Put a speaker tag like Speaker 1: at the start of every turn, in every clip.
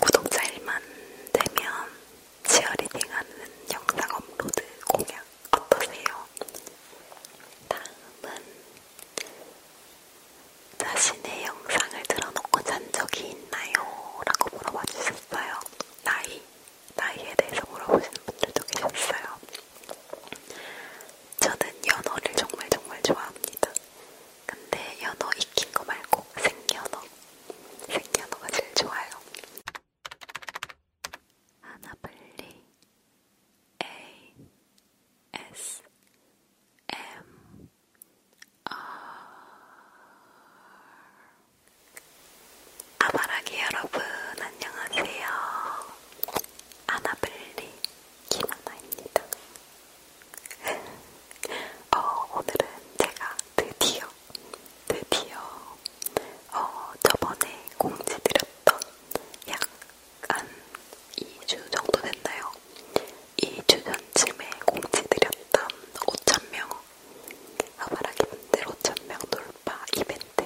Speaker 1: 구독자 1만 되면 치어리딩하는 영상 업로드 공약 어떠세요? 다음은 자신의 영상을 들어놓고 잔 적이 있나요? 라고 물어봐 주셨어요. 나이, 나이에 대해서 물어보시는 분들도 계셨어요. 저는 연어를 정말 정말 좋아합니다. 근데 연어 익힌 거 말고 생연어. 생연어가 제일 좋아요. 하나블리 A S M R 아바라기 여러분 안녕하세요. 아나블리 김하나입니다. 어, 오늘은 제가 드디어, 드디어, 어, 저번에 공지드렸던 약한 2주 정도 됐나요? 2주 전쯤에 공지드렸던 5,000명, 아바라기 분들 5,000명 돌파 이벤트,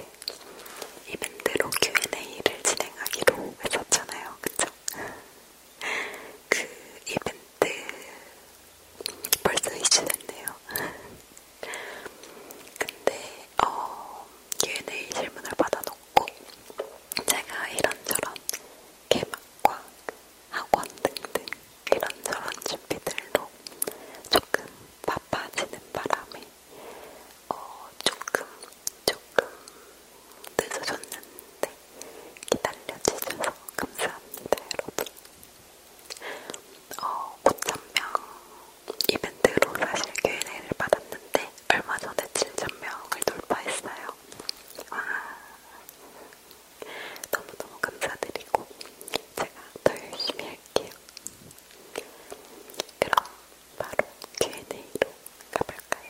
Speaker 1: 이벤트로 Q&A를 진행하기로 했었잖아요. 그쵸? 그 이벤트 벌써 2주 됐네요. 근데 어, Q&A 질문을 받아놓고 제가 이런저런 개막과 학원 등등 이런저런 준비들로 조금 바빠지는 바람에 어, 조금 조금 늦어졌는데 기다려주셔서 감사합니다, 여러분. 어, 5,000명 이벤트로 사실 Q&A를 받았는데 얼마 전에 7,000명을 돌파했어요. 와, 너무너무 감사드리고 제가 더 열심히 할게요. 그럼 바로 Q&A로 가볼까요?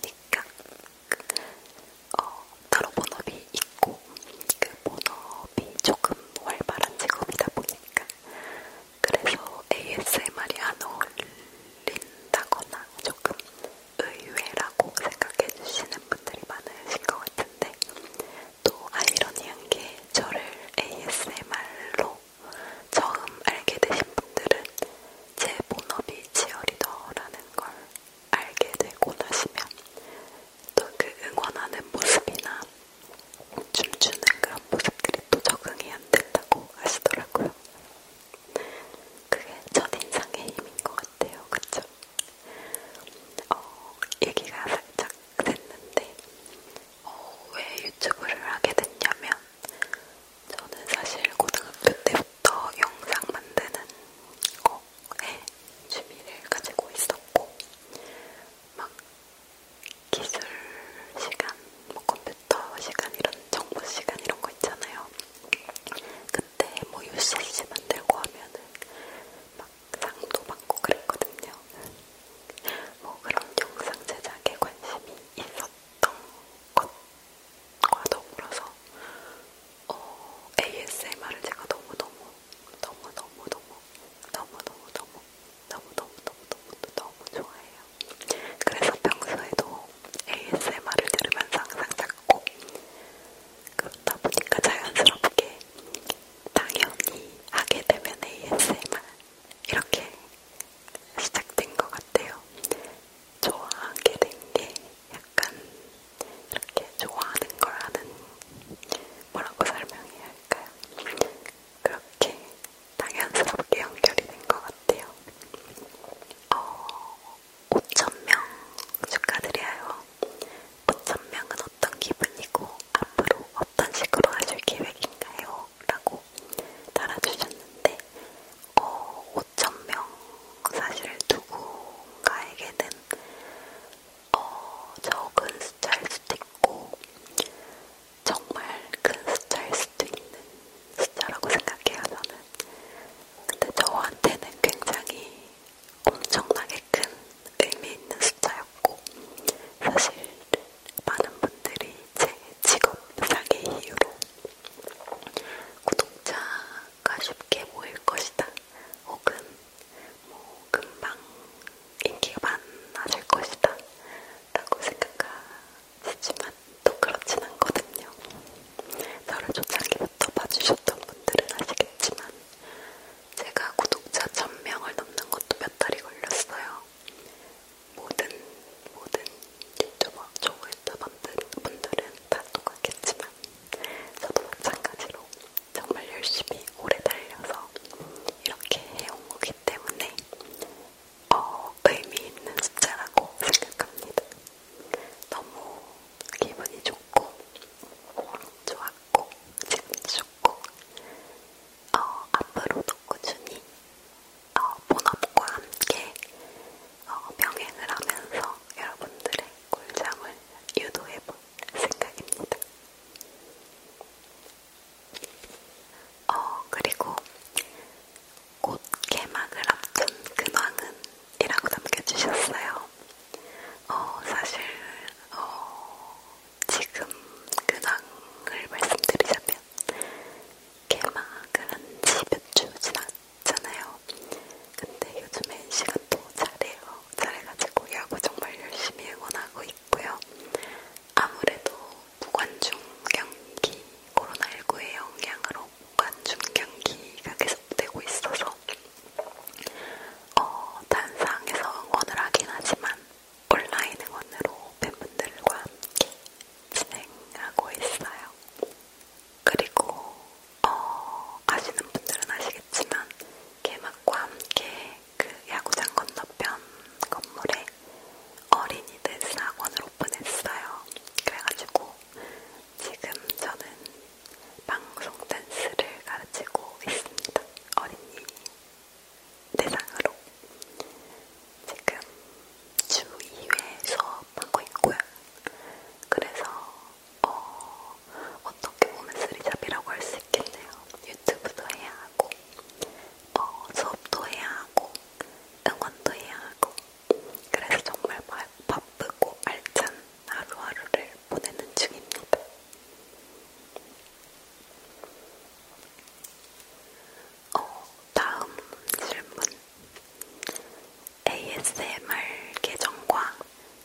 Speaker 1: 그러니까 그, 어, 따로 본업이 있고 그 본업이 조금 활발한 직업이다 보니까 그래서 ASMR이 안 어울린다거나 조금 의외라고 생각해 주시는 분들이 많으실 것 같은데 또 아이러니한 게 저를 ASMR로 처음 알게 되신 분들은 제 본업이 치어리더라는 걸 알게 되고 나시면 또 그 응원하는 모습이나 춤추는 그런 모습들이 또 적응이 안 된다고 하시더라고요. 그게 첫인상의 힘인 것 같아요. 그쵸? 어, 얘기가 살짝 됐는데, 어, 왜 유튜브를 하게 됐냐면, 저는 사실 고등학교 때부터 영상 만드는 거에 취미를 가지고 있었고, 막 기술 시간, 뭐 컴퓨터 시간 이런 정보 시간 이런 거 있잖아요. 그때 뭐 UCC 만들고 하면은 막 상도 받고 그랬거든요. 뭐 그런 영상 제작에 관심이 있었던 것과 더불어서 어, ASMR을 제가 너무너무 너무너무너무 너무너무너무 너무너무너무 너무너무 좋아해요. 그래서 평소에도 ASMR을 들으면서 항상 작고 그러다 보니까 자연스럽게 당연히 하게 되면 ASMR 이렇게 시작된 것 같아요. 좋아하게 된 게 약간 이렇게 좋아하는 거라는 뭐라고 설명해야 할까요? 그렇게 당연스럽게 연결이 된 것 같아요. 어, 5,000명 축하드려요. 5,000명은 어떤 기분이고 앞으로 어떤 식으로 하실 계획인가요? 라고 달아주셨는데 어, 5,000명 사실 누군가에게는 어, 적은 숫자일 수도 있고 정말 큰 숫자일 수도 있는 숫자라고 생각해요 저는 근데 저한테는 굉장히 엄청나게 큰 의미 있는 숫자였고 사실 많은 분들이 제 직업상의 이유로 구독자가 쉽게 모일 것이다. 혹은 뭐 금방 인기가 많아질 것이다. 라고 생각하시지만 또 그렇진 않거든요. 저를 초창기부터 봐주셨던 분들은 아시겠지만 제가 구독자 1000명을 넘는 것도 몇 달이 걸렸어요. 모든 모든 유튜버, 저의 청취자분들은 다 똑같겠지만 저도 마찬가지로 정말 열심히 오래 달려서 이렇게 해온 거기 때문에 어, 의미 있는 숫자라고 생각합니다. 너무 기분이 좋고 좋았고 지금 좋고 어, 앞으로도 꾸준히 어, 본업과 함께 어, 병행을 하면서 여러분들의 꿀잠을 유도해볼 생각입니다. 어, 그리고 곧 개막을 앞둔 근황은 이라고 남겨주셨어요. 어, 사실, 어, 지금 근황을 말씀드리자면, 개막을 한지몇주 지났, 있잖아요. 근데 요즘에 NC가 또 잘해요. 잘해가지고 야구 정말 열심히 응원하고 있고요. 아무래도 무관중 경기, 코로나19의 영향으로 무관중 경기가 계속되고 있어서 어, 단상에서 응원을 하긴 하지만 온라인 응원으로 팬분들과 함께 진행하고 있어요. 그리고 어, 아시는 분들은 아시겠지만 개막과 함께 그 야구장 건너편 건물에 어린이들 사학원을 오픈했어요. 그래가지고 지금 저는 방송 댄스를 가르치고 있습니다. 어린이 대상으로 지금 주 2회 수업하고 있고요. 그래서 어, 어떻게 보면 쓰리잡이라고 할 수 있겠네요. 유튜브도 해야 하고 어, 수업도 해야 하고 응원도 해야 하고 그래서 정말 바, 바쁘고 알찬 하루하루를 보내는 중입니다. 어, 다음 질문. ASMR 계정과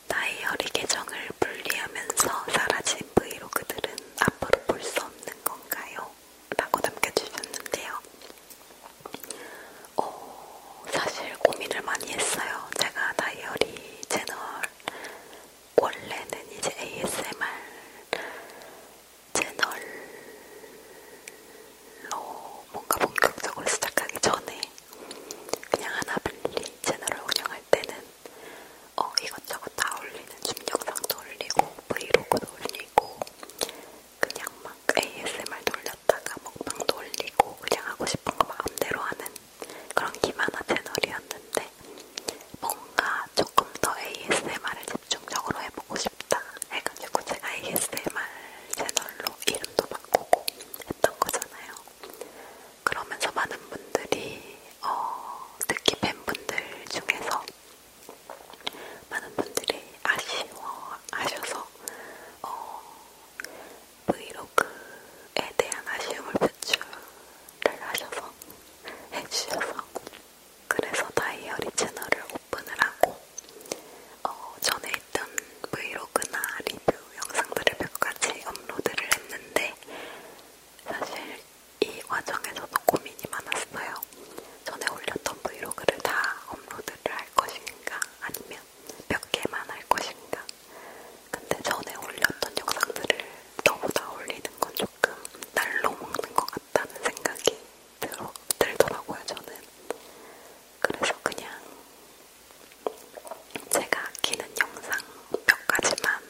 Speaker 1: 다이어리 계정을 분리하면서 사라진 브이로그들은 앞으로 볼 수 없는 건가요? 라고 남겨주셨는데요. 어, 사실 고민을 많이 했어요. 제가 다이어리 채널 원래는 이제 ASMR 채널로 뭔가 본격적으로 시작하기 전에 그냥 하나빌리 채널을 운영할 때는 어, 이것저것 다 올리는 줌 영상도 올리고 브이로그도 올리고 그냥 막 ASMR 돌렸다가 먹방도 올리고 그냥 하고 싶은 거 마음대로 하는 그런 기만화 채널이었는데 뭔가 조금 더 ASMR을 집중적으로 해보고 싶다 해가지고 제가 ASMR 채널로 이름도 바꾸고 했던 거잖아요. 그러면서 많은 분들이 어, 특히 팬분들 중에서 많은 분들이 아쉬워하셔서 어, 브이로그에 대한 아쉬움을 표출을 하셔서 해주셔서 그래서 다이어리 채널을 오픈을 하고 어, 전에 있던 브이로그나 리뷰 영상들을 몇 가지 업로드를 했는데 사실 이 과정에서도 고민이 많았어요. 전에 올렸던 브이로그를 다 업로드를 할 것인가 아니면 몇 개만 할 것인가 근데 전에 올렸던 영상들을 너무 다 올리는 건 조금 날로 먹는 것 같다는 생각이 들어, 들더라고요, 저는. 그래서 그냥 제가 아끼는 영상 몇 가지만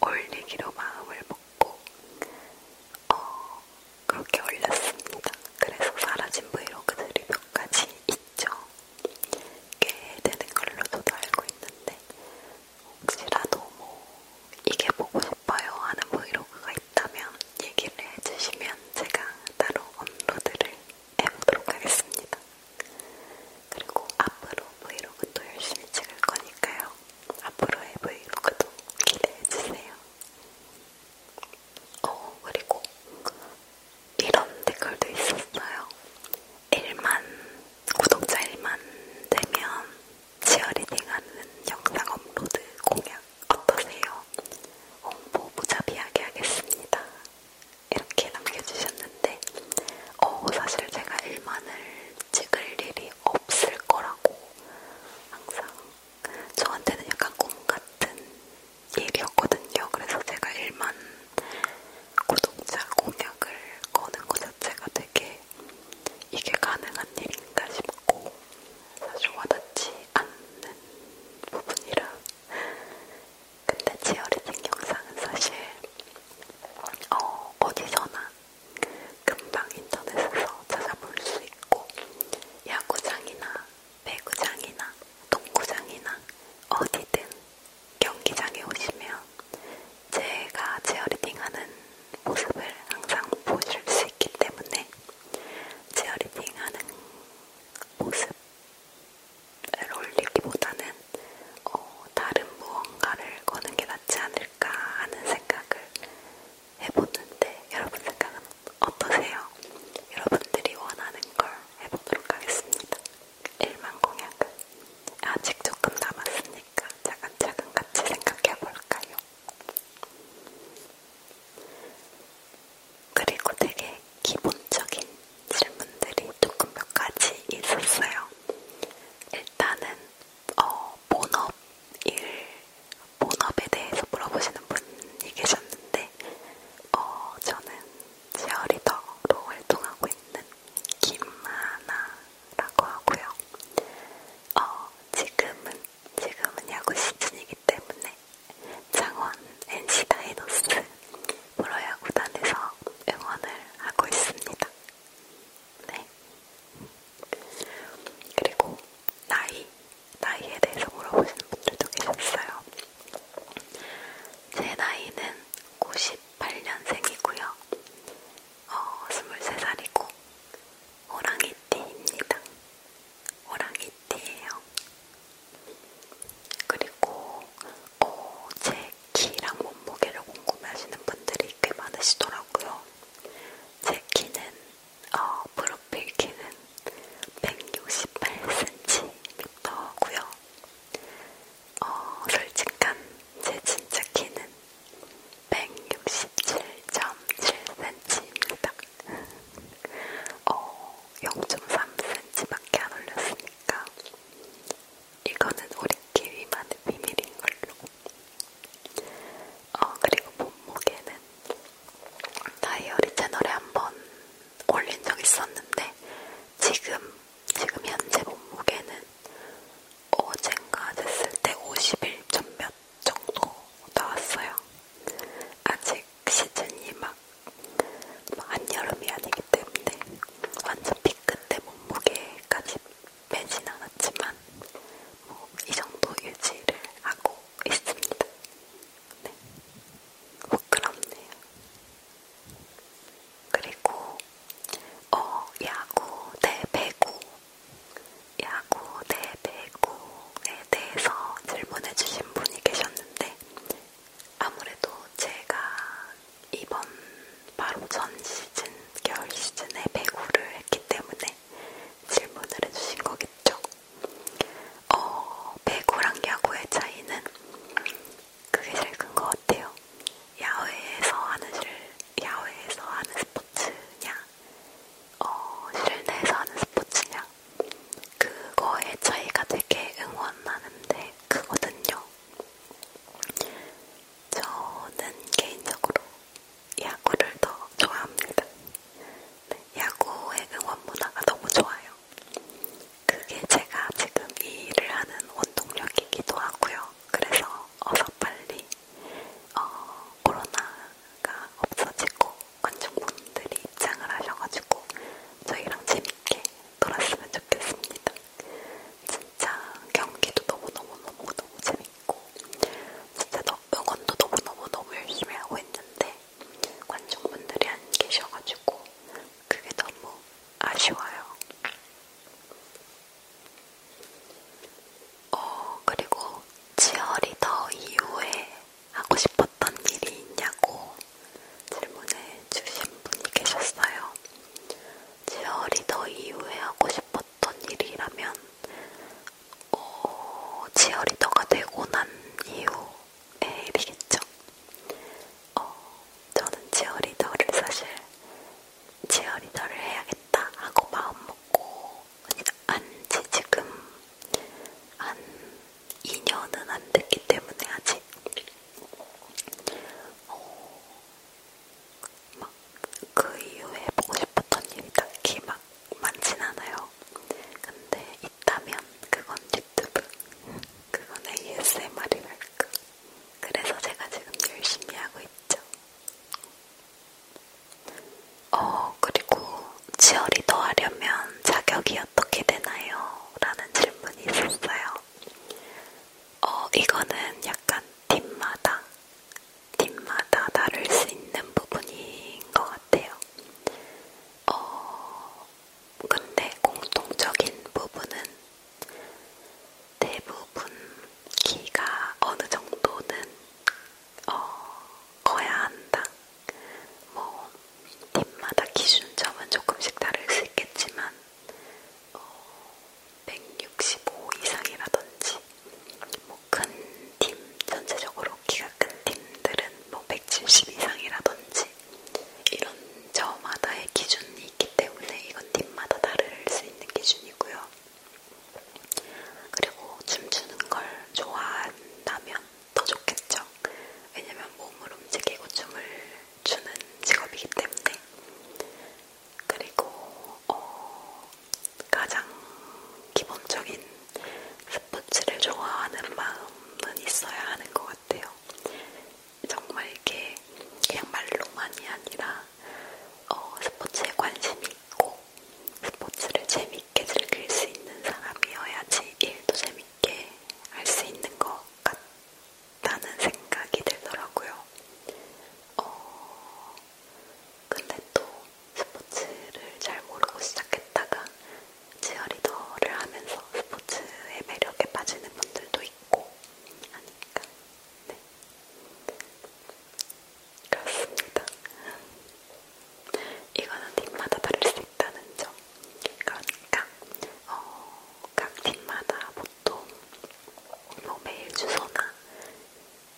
Speaker 1: 올리기로 마음을 먹고, 어, 그렇게 올렸습니다. 그래서 사라진 브이로그들이 몇 가지 있죠. 꽤 되는 걸로 저도 알고 있는데, 혹시라도 뭐, 이게 보고 싶어요 하는 브이로그가 있다면 얘기를 해주시면 제가 따로 업로드를 해보도록 하겠습니다. 그리고 앞으로 브이로그도 열심히 찍을 거니까요. 앞으로의 브이로그도 기대해주세요. 어, 그리고 이런 댓글도 있었어요. 1만, 구독자 1만 되면 치어리딩하는 영상 업로드 공약 어떠세요? 홍보 무자비하게 하겠습니다. 이렇게 남겨주셨는데 어, 사실 제가 1만을 찍을 일이 없을 거라고 항상 저한테는 약간 꿈같은 일이었거든요. 그래서 제가 1만 구독자 공약을 거는 것 자체가 되게 이게 가능한 일인가 싶고 사실 와닿지 않는 부분이라 근데 치어리딩 영상은 사실 어, 어디서나 금방 인터넷에서 찾아볼 수 있고 야구장이나 배구장이나 농구장이나 어디든 경기장에 오시면 제가 치어리딩하는 모습을 항상 보실 수 있기 때문에 치어리딩 하는 모습을 올리기보다는 어, 다른 무언가를 거는 게 낫지 않을까 하는 생각을 해보는데 여러분 생각은 어떠세요? 여러분들이 원하는 걸 해보도록 하겠습니다. 1만 공약은 아직 조금 남았으니까 차근차근 같이 생각해볼까요? 그리고 되게 기본적인 질문들이 조금 몇 가지 있었어요. 일단은 어, 본업 일, 본업에 대해서 물어보시는 분이 계셨는데 어, 저는 제어리더로 활동하고 있는 김하나라고 하고요. 어, 지금은 지금은 야구 시즌이기 때문에 창원 NC 다이노스 프로야구단에서 응원을 하고 있습니다. 네. 그리고 나이, 나이에 대해서 물어보시는 분들도 계셨어요. 제 나이는 98년생이고요. 어, 23살이고 호랑이띠입니다. 호랑이띠예요. 그리고 어, 제 키랑 몸무게를 궁금해하시는 분들이 꽤 많으시더라고요. 제 키는 어, 프로필 키는 168cm고요. 어, 솔직한 제 진짜 키는 167.7cm입니다. 어, 0.3cm밖에 안 올렸으니까 이거는 우리 키위만의 비밀인 걸로. 어, 그리고 몸무게는 다이어리 채널에 한번 올린 적 있었는데 지금, 지금 현재 몸무게는 어젠가 됐을 때 51점 몇 정도 나왔어요. 아직 시즌이 막 한여름이 아니기 때문에 완전 피끝에 몸무게까지 빼진 않았지만 뭐 이 정도 유지를 하고 있습니다. 네. 부끄럽네요. 그리고 어 야구, 대배구 네, 야구 대배구에 대해서 질문해주신 분이 계셨는데 아무래도 제가 이번 바로 전 시즌 겨울 시즌에 배구를 했기 때문에 질문을 해주신 거겠죠. 어, 배구랑 야구의 차이는 그게 제일 큰 것 같아요. 야외에서 하는 실, 야외에서 하는 스포츠냐, 어, 실내에서 하는 스포츠냐 그거의 차이가 되게 응원하는데 크거든요. 저는 개인적으로 야구를 더 좋아합니다. 네, 야구의 응원 문화가 너무 좋아요. 그게 제가 지금 이 일을 하는 원동력이기도 하고요. 그래서 어서 빨리 어, 코로나가 없어지고 관중분들이 입장을 하셔가지고 저희랑 재밌게 놀았으면 좋겠습니다. 진짜 경기도 너무너무너무너무 재밌고 진짜 너, 응원도 너무너무너무 열심히 하고 있는데 관중분들이 안 계셔가지고 그게 너무 아쉬워요. 어, 그리고 치어리더 이후에 하고 싶었던 일이 있냐고 질문해 주신 분이 계셨어요. 치어리더 이후에 하고 싶었던 일이라면 어, 치어리더가 되고 난 이후의 일이겠죠. 어, 저는 치어리더를 사실 치어리더를 해야겠다 하고 마음먹고 안지 지금 한 2년은 안 됐기 때문에 아직 어, 막그 이후에 보고 싶었던 일이 딱히 막 많진 않아요. 근데 있다면 그건 유튜브, 그건 ASMR이랄까. 그래서 제가 지금 열심히 하고 있죠. 어, 그리고 치어리더 하려면 자격이 어떻게 되나요? 라는 질문이 있었어요. 어, 이거는 약간 팀마다, 팀마다 다를 수 있는 부분인 것 같아요. 어, 근데 공통적인 부분은 대부분 키가 어느 정도는 어, 커야 한다. 뭐 팀마다 기준점은 조금씩 다를 수 있겠지만 어, 165 이상이라든지 뭐큰팀 전체적으로 키가 큰 팀들은 뭐 170 이상이라든지 이런 저마다의 기준이 있기 때문에 이건 팀마다 다를 수 있는 기준이고요. 그리고 춤추는 걸 좋아한다면 더 좋겠죠. 왜냐면 몸을 움직이고 춤을 추는 직업이기 때문에. 그리고 어, 가장 기본적인 스포츠를 좋아하는 마음은 있어야 하는 것 같아요. 정말 이렇게 그냥 말로만이 아니라 어, 스포츠에 관심이 있고 스포츠를 재밌게 즐길 수 있는 사람이어야지 일도 재밌게 할 수 있는 것 같다는 생각이 들더라고요. 어, 근데 또 스포츠를 잘 모르고 시작했다가 치어리더를 하면서 스포츠의 매력에 빠지는 분들도 있고 하니까 네. 그렇습니다. 이거는 팀마다 다를 수 있다는 점. 그러니까 어, 각 팀마다 보통 뭐 메일 주소나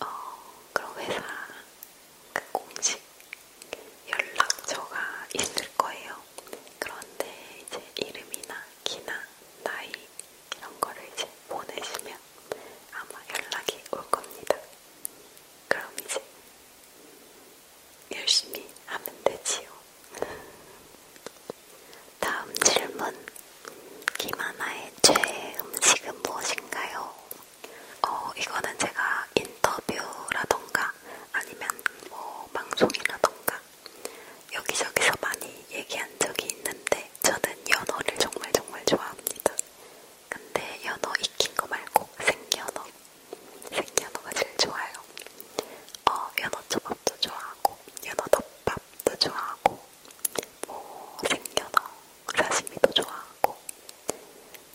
Speaker 1: 어, 그런 회사 그 공식 연락처가 있을 거예요. 그런데 이제 이름이나 키나 나이 이런 거를 이제 보내시면 아마 연락이 올 겁니다. 그럼 이제 열심히 하면 되지요. 다음 질문. 김하나의 최애 음식은 무엇인가요? 어, 이거는 제가 인터뷰라던가 아니면 뭐 방송이라던가 여기저기서 많이 얘기한 적이 있는데 저는 연어를 정말 정말 좋아합니다. 근데 연어 익힌 거 말고 생연어, 생연어가 제일 좋아요. 어, 연어초밥도 좋아하고 연어덮밥도 좋아하고 뭐 생연어 사시미도 좋아하고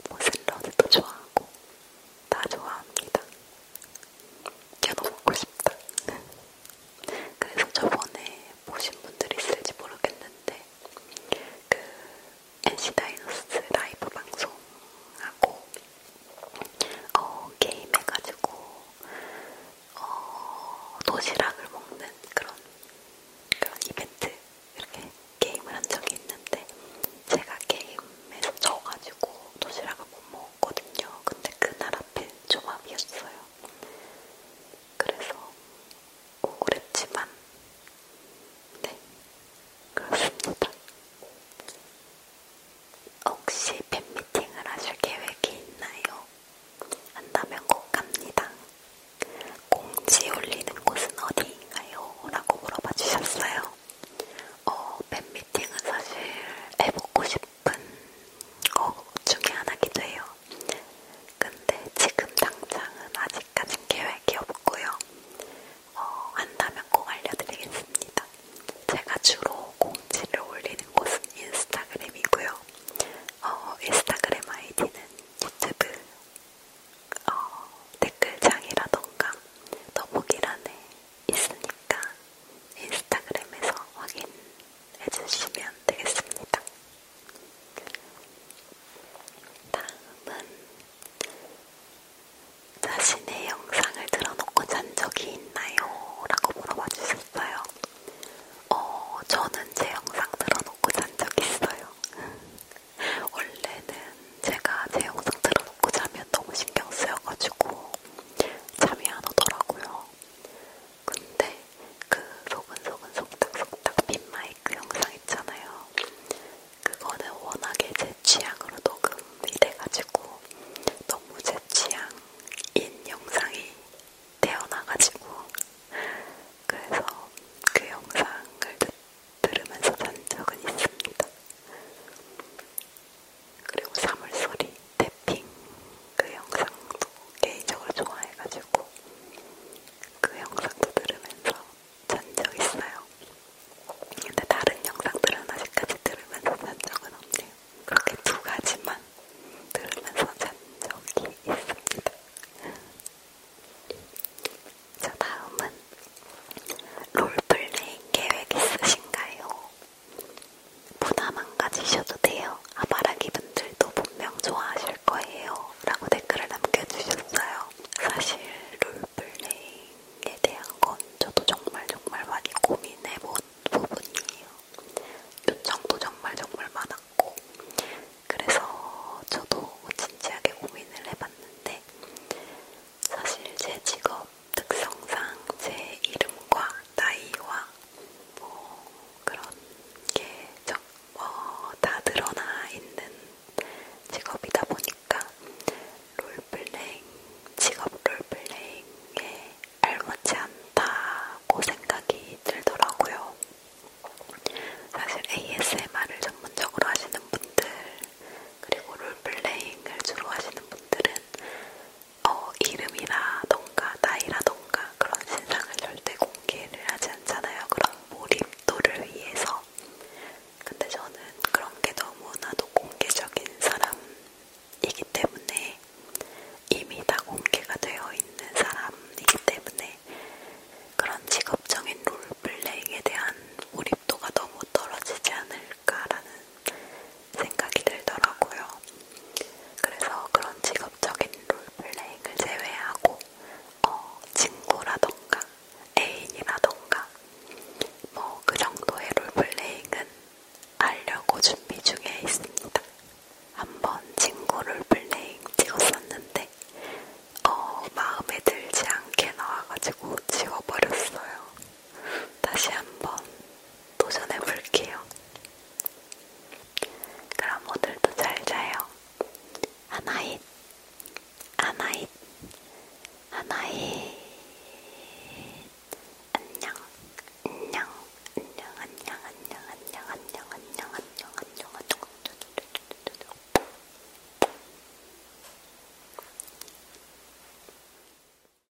Speaker 1: 뭐 샐러드도 좋아하고 다 좋아합니다. 연어 먹고 싶다. 그래서 저번에 보신 분들이 있을지 모르겠는데 그 NC 다이노스 라이브 방송하고 어, 게임해가지고 어, 도시락을 먹는 그런 그런 이벤트 이렇게 게임을 한 적이 있는데 제가 게임에서 져가지고 도시락을 못 먹었거든요. 근데 그날 앞에 조합이었어요. 그래서 우울했지만 네 그렇습니다. 혹시 팬미팅을 하실 계획이 있나요? 한다면 꼭 갑니다. 공지 올리는 곳은 어디인가요? 라고 물어봐 주셨어요. 어, 팬미팅은 사실 해보고 싶 예쁜 거 중에 하나기도 해요. 근데 지금 당장은 아직까진 계획이 없고요. 어, 한다면 꼭 알려드리겠습니다. 제가 주로 공지를 올리는 곳은 인스타그램이고요. 어, 인스타그램 아이디는 유튜브 어, 댓글창이라던가 더보기란에 있으니까 인스타그램에서 확인 해주시면 되겠습니다. 다음은 자신의 영상을 들어놓고 잔 적이 있나요? 라고 물어봐 주셨어요. 어, 저는 제 영상 들어놓고 잔 적 있어요. 원래는 제가 제 영상 들어놓고 자면 너무 신경 쓰여가지고 잠이 안 오더라고요. 근데 그 소근소근 속닥속닥 빈마이크 영상 있잖아요. 그거는 워낙에 제 취향으로 녹음이 돼가지고 너무 제 취향인 영상이 태어나가지고 그래서 그 영상을 듣, 들으면서 잔 적은 있습니다. 그리고 사물소리, 태핑 그 영상도 개인적으로 좋아해가지고 그 영상도 들으면서 잔 적 있어요. 근데 다른 영상들은 아직까지 들으면서 잔 적은 없네요. 그렇게 두 가지만 들으면서 잔 적이 있습니다. 자, 다음은 롤플레잉 계획 있으신가요? 부담 안 가지셔도 돼요. 아바라기 분들도 분명 좋아하실 거예요. 라고 댓글을 남겨주셨어요. 사실 롤플레잉에 대한 건 저도 정말 정말 많이 고민해본 부분이에요. 요청도 정말 정말 많았고 그래서 저도 진지하게 고민을 해봤는데 사실 제 직업 특성상 제 이름과 나이와 뭐 그런 게다 어, 드러나 있는 직업이다 보니까 롤플레잉, 직업 롤플레잉에 알맞지 않다고 생각이 들더라고요. 사실 ASMR을 전문적으로 하시는 분들 그리고 롤플레잉을 주로 하시는 분들은 어, 이름이라던가 나이라던가 그런 신상을 절대 공개를 하지 않잖아요. 그런 몰입도를 위해서. 근데 저는 그런 게 너무나도 공개적인 사람이기 때문에 이미 다 공개가 되어 있는 사람이기 때문에 그런 직업적인 롤플레잉에 대한 몰입도가 너무 떨어지지 않을까라는 생각이 들더라고요. 그래서 그런 직업적인 롤플레잉을 제외하고 어, 친구라던가 애인이라던가 뭐 그 정도의 롤플레잉은 알려고 준비 중에 있습니다. 한번 친구 롤플레잉 찍었었는데 어, 마음에 들지 않게 나와가지고 지워버렸어요. 다시 한번 도전해 볼게요. 그럼 오늘도 잘 자요. 하나잇, 하나잇, 하나잇. 안녕, 안녕, 안녕, 안녕, 안녕, 안녕, 안녕, 안녕, 안녕, 안녕, 안녕.